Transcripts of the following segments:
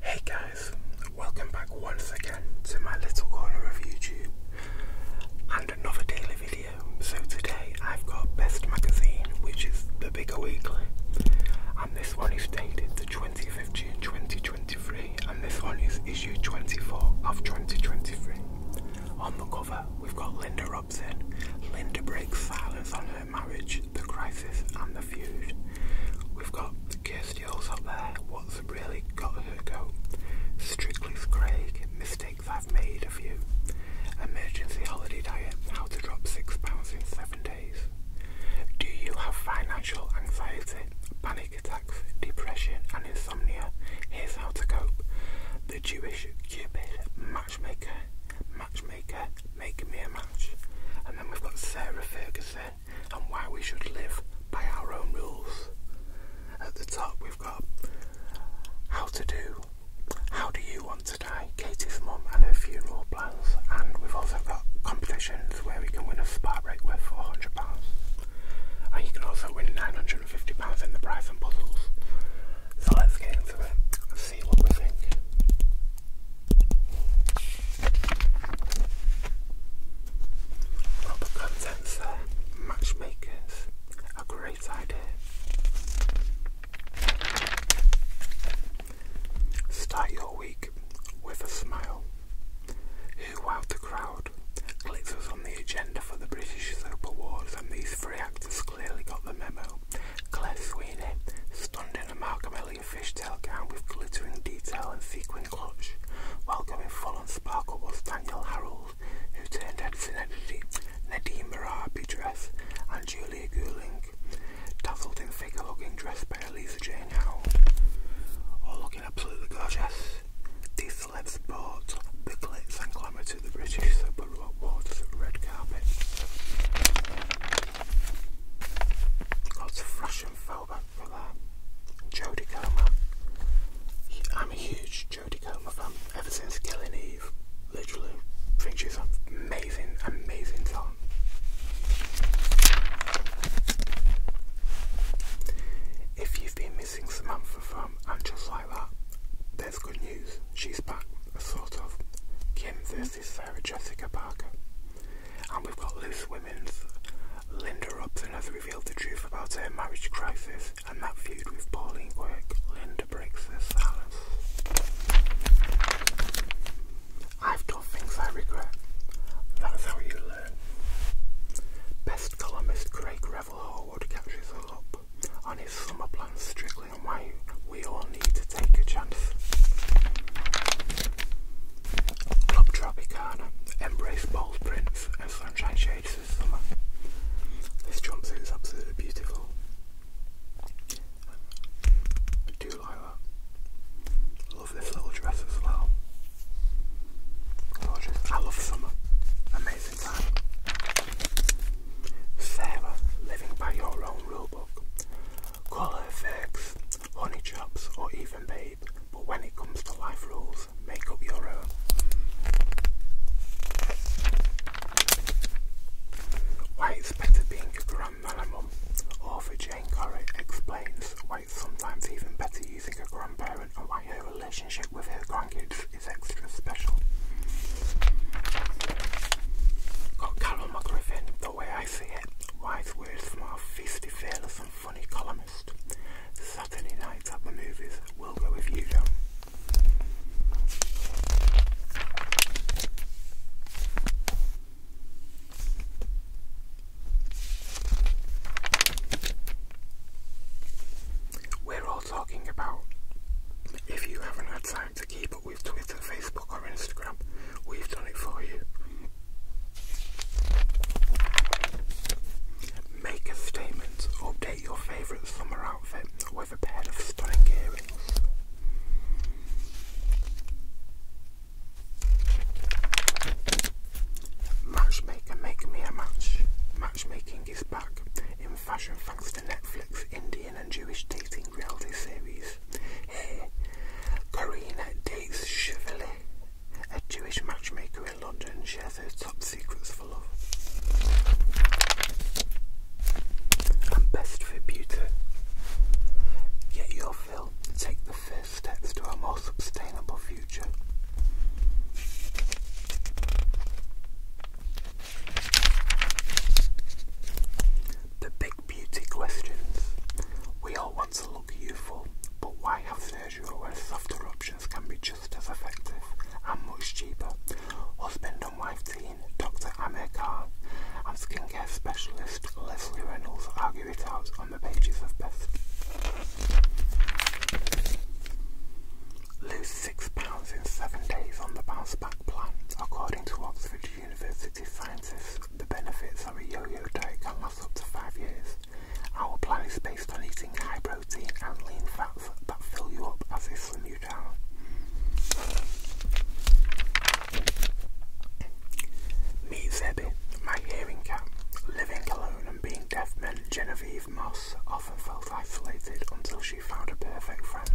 Hey guys, welcome back once again to my little corner of YouTube and another daily video. So today I've got Best Magazine, which is the bigger weekly, and this one is dated the 20th of June 2023, and this one is issue 24 of 2023. On the cover, we've got Linda Robson, Linda breaks silence on her marriage, the crisis, and the feud. We've got Kirsty All's up there, what's really got her go? Strictly Craig, mistakes I've made of you. Emergency holiday diet, how to drop six pounds in seven days. Do you have financial anxiety, panic attacks, depression, and insomnia? Here's how to cope the Jewish Cupid, matchmaker, matchmaker, making me a match. And then we've got Sarah Ferguson and why we should live by our own rules. At the top we've got how to do, how do you want to die, Katie's mom and her funeral plans. And we've also got competitions where we can win a spa break worth £400. And you can also win 900 £150 in the prize and puzzles. So let's get into it and see what we think. Well, contents there, matchmakers, a great idea. Start your week with a smile. Who wowed the crowd? Glitz was on the agenda for the British Soap Awards, and these three actors clearly got the memo. Claire Sweeney, stunned in a Malcolm Elliott fishtail gown with glittering detail and sequin clutch, while going full on sparkle was Daniel Harold, who turned heads in a Nadine Merabi dress, and Julia Gouling, dazzled in figure-hugging dress by Elisa Jane Howell, all oh, looking absolutely gorgeous. These Port, bought booklets and glamour to the British Borough Awards red carpet. Lots of fashion throwback for that. Jodie Comer. I'm a huge Jodie Comer fan ever since Killing Eve. Literally, think she's amazing, amazing talent. If you've been Samantha from um, And Just Like That. There's good news, she's back, a sort of. Kim This is Sarah Jessica Parker. And we've got Loose Women's. Linda Robson has revealed the truth about her marriage crisis and that feud with Pauline Quirk. Linda breaks her silence. I've done things I regret. That's how you learn. Best columnist Craig Ray Trevor Horwood catches his summer plans strictly and we all need to take a chance. embrace bold prints and sunshine shades this summer. This jumpsuit is absolutely beautiful. I do like that. Love this little dress as well. Gorgeous. I love summer. Amazing time. Sarah, living by your own rulebook. Call her Vex, Honey or even Babe, but when it comes to life rules, make up your own. Why it's better being a grandma and mum. Author Jane Corrie explains why sometimes even better using a grandparent and why her relationship with her grandkids is extra special. Got Carol McGriffin, the way I see it, wise words from feisty, fearless and funny columnist. Saturday night at the movies, we'll go with you, Joe. We're all talking about. If you haven't had time to keep up with Twitter, Facebook, or Instagram, we've done it for you. Make a statement, update your favourite summer outfit with a pair of stunning earrings. Matchmaker Make Me a Match. Matchmaking is back in fashion thanks to Netflix Indian and Jewish dating reality series. Here, Karina dates Chevalier, a Jewish matchmaker in London, shares her top secrets for love. And best for beauty. Get your fulfill and take the first steps to a more sustainable future. The big beauty questions. We all want to look youthful, but why have surgery where softer options can be just as effective and much cheaper? Husband and wife team Dr. Amir Khan and skincare specialist Leslie Reynolds argue it out on the pages of Best. Lose six pounds in seven days on the bounce back plan. According to Oxford University scientists, the benefits of a yo-yo diet can last up to five years. Our plan is based on eating high protein and lean fats that fill you up as they slim you down. Me Zebby, my hearing cat. Living alone and being deaf meant Genevieve Moss often felt isolated until she found a perfect friend.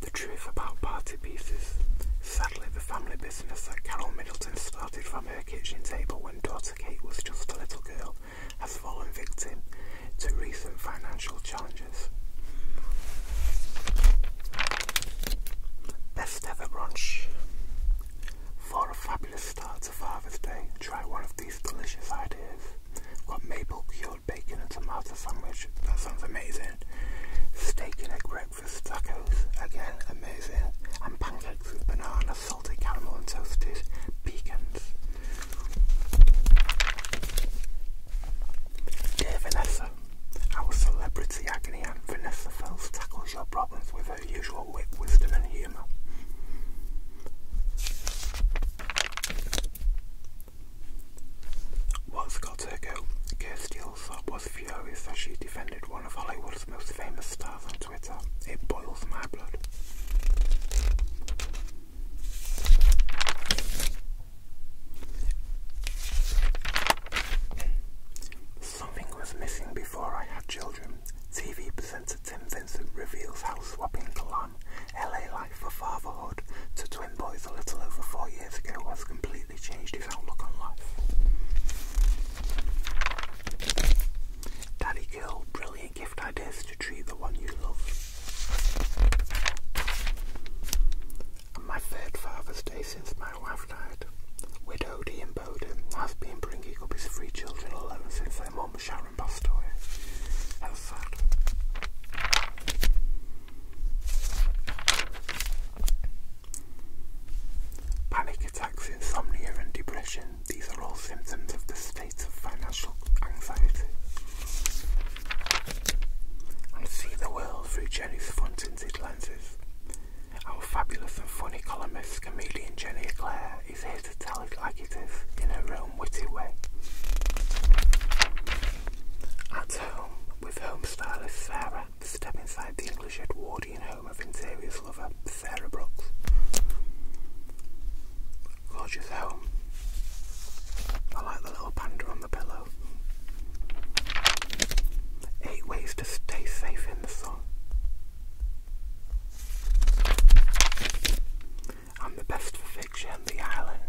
The truth about party pieces. Sadly, the family business that Carol Middleton started from her kitchen table when daughter Kate was just a little girl has fallen victim to recent financial challenges. Best ever brunch. For a fabulous start to Father's Day, try one of these delicious ideas. We've maple cured bacon and tomato sandwich. That sounds amazing. Steak and egg breakfast tacos. Again, amazing. And pancakes with banana, salted caramel and toasted pecans. Dear Vanessa, our celebrity agony aunt Vanessa Fells tackles your problems with her usual wit, wisdom and humour. What's got her go? Kirsty Allsop was furious as she defended one of Hollywood's most famous stars on Twitter. It boils my blood. Something was missing before I had children. TV presenter Tim Vincent reveals how swapping the lamb, LA life for fatherhood, to twin boys a little over four years ago has completely changed his outlook on life. Daddy Girl, brilliant gift ideas to treat the one you love my third Father's Day since my wife died. Widowed Ian Bowden has been bringing up his three children alone since their mum Sharon passed away. That's sad. Panic attacks, insomnia and depression, these are all symptoms of the of financial anxiety. and see the world through Jenny's fun tinted lenses. Our fabulous and funny columnist, comedian Jenny Eclair, is here to tell it like it is in her own witty way. At home, with home stylist Sarah, step inside the English Edwardian home of interiors lover Sarah Brooks. Gorgeous home. I like the little panda on the pillow. Eight ways stay safe in the sun. I'm the best for fiction, The Island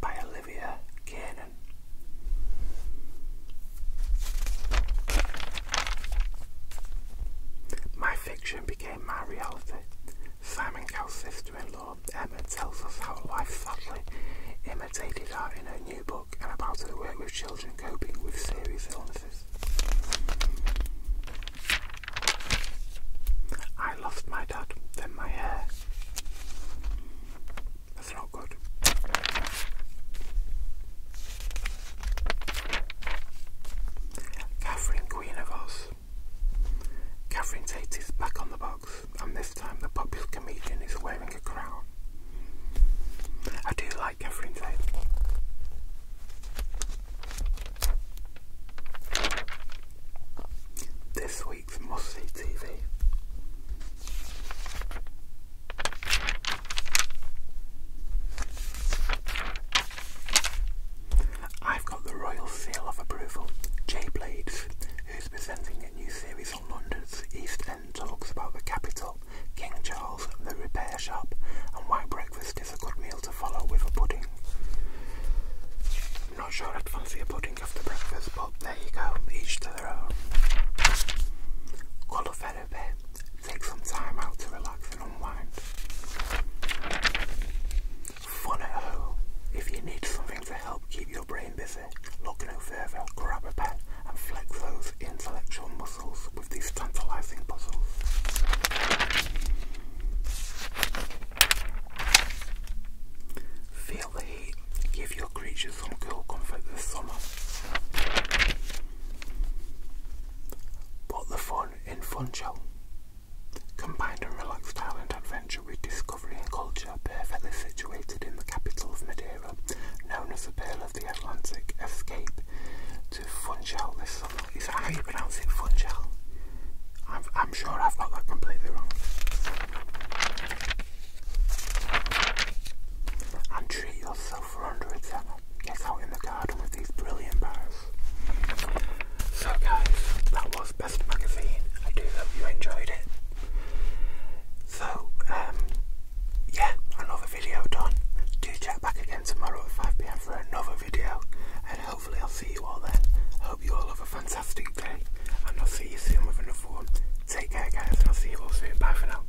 by Olivia Kiernan. My fiction became my reality Simon Cowell's sister-in-law, Emma, tells us how life suddenly imitated her in her new book and about her work with children coping with serious illnesses. I lost my dad, then my hair. That's not good. Catherine Queen of Oz. Catherine Tate is back on the box, and this time the popular comedian is wearing a crown. I do like Catherine Tate. This week's must see TV. I've got the royal seal of approval. Jay Blades, who's presenting a new series on London's East End, talks about the capital, King Charles, the repair shop, and why breakfast is a good meal to follow with a pudding. I'm not sure I'd fancy a pudding after breakfast, but there you go, each to their own. Colour therapy. Take some time out to relax and unwind. Fun at home. If you need something to help keep your brain busy, look no further, grab a pen and flex those intellectual muscles with these tantalizing puzzles. Feel the heat. Give your creatures some cool comfort this summer. Put the fun in Funcho. Combined and relaxed island adventure with discovery and culture perfectly situated in the capital of Madeira, known as the Pearl of the Atlantic, escape to Funchal this summer. Is that how you pronounce it, Funchal? I'm, sure I've got that completely wrong. And treat yourself for under a that's out in the garden with these brilliant bars. So guys, that was Best Magazine. I do hope you enjoyed it. So, um, yeah, another video done. Do check back again tomorrow at 5pm for another video and hopefully I'll see you all then. Hope you all have a fantastic day and I'll see you soon with another one. Take care guys and I'll see you all soon. Bye for now.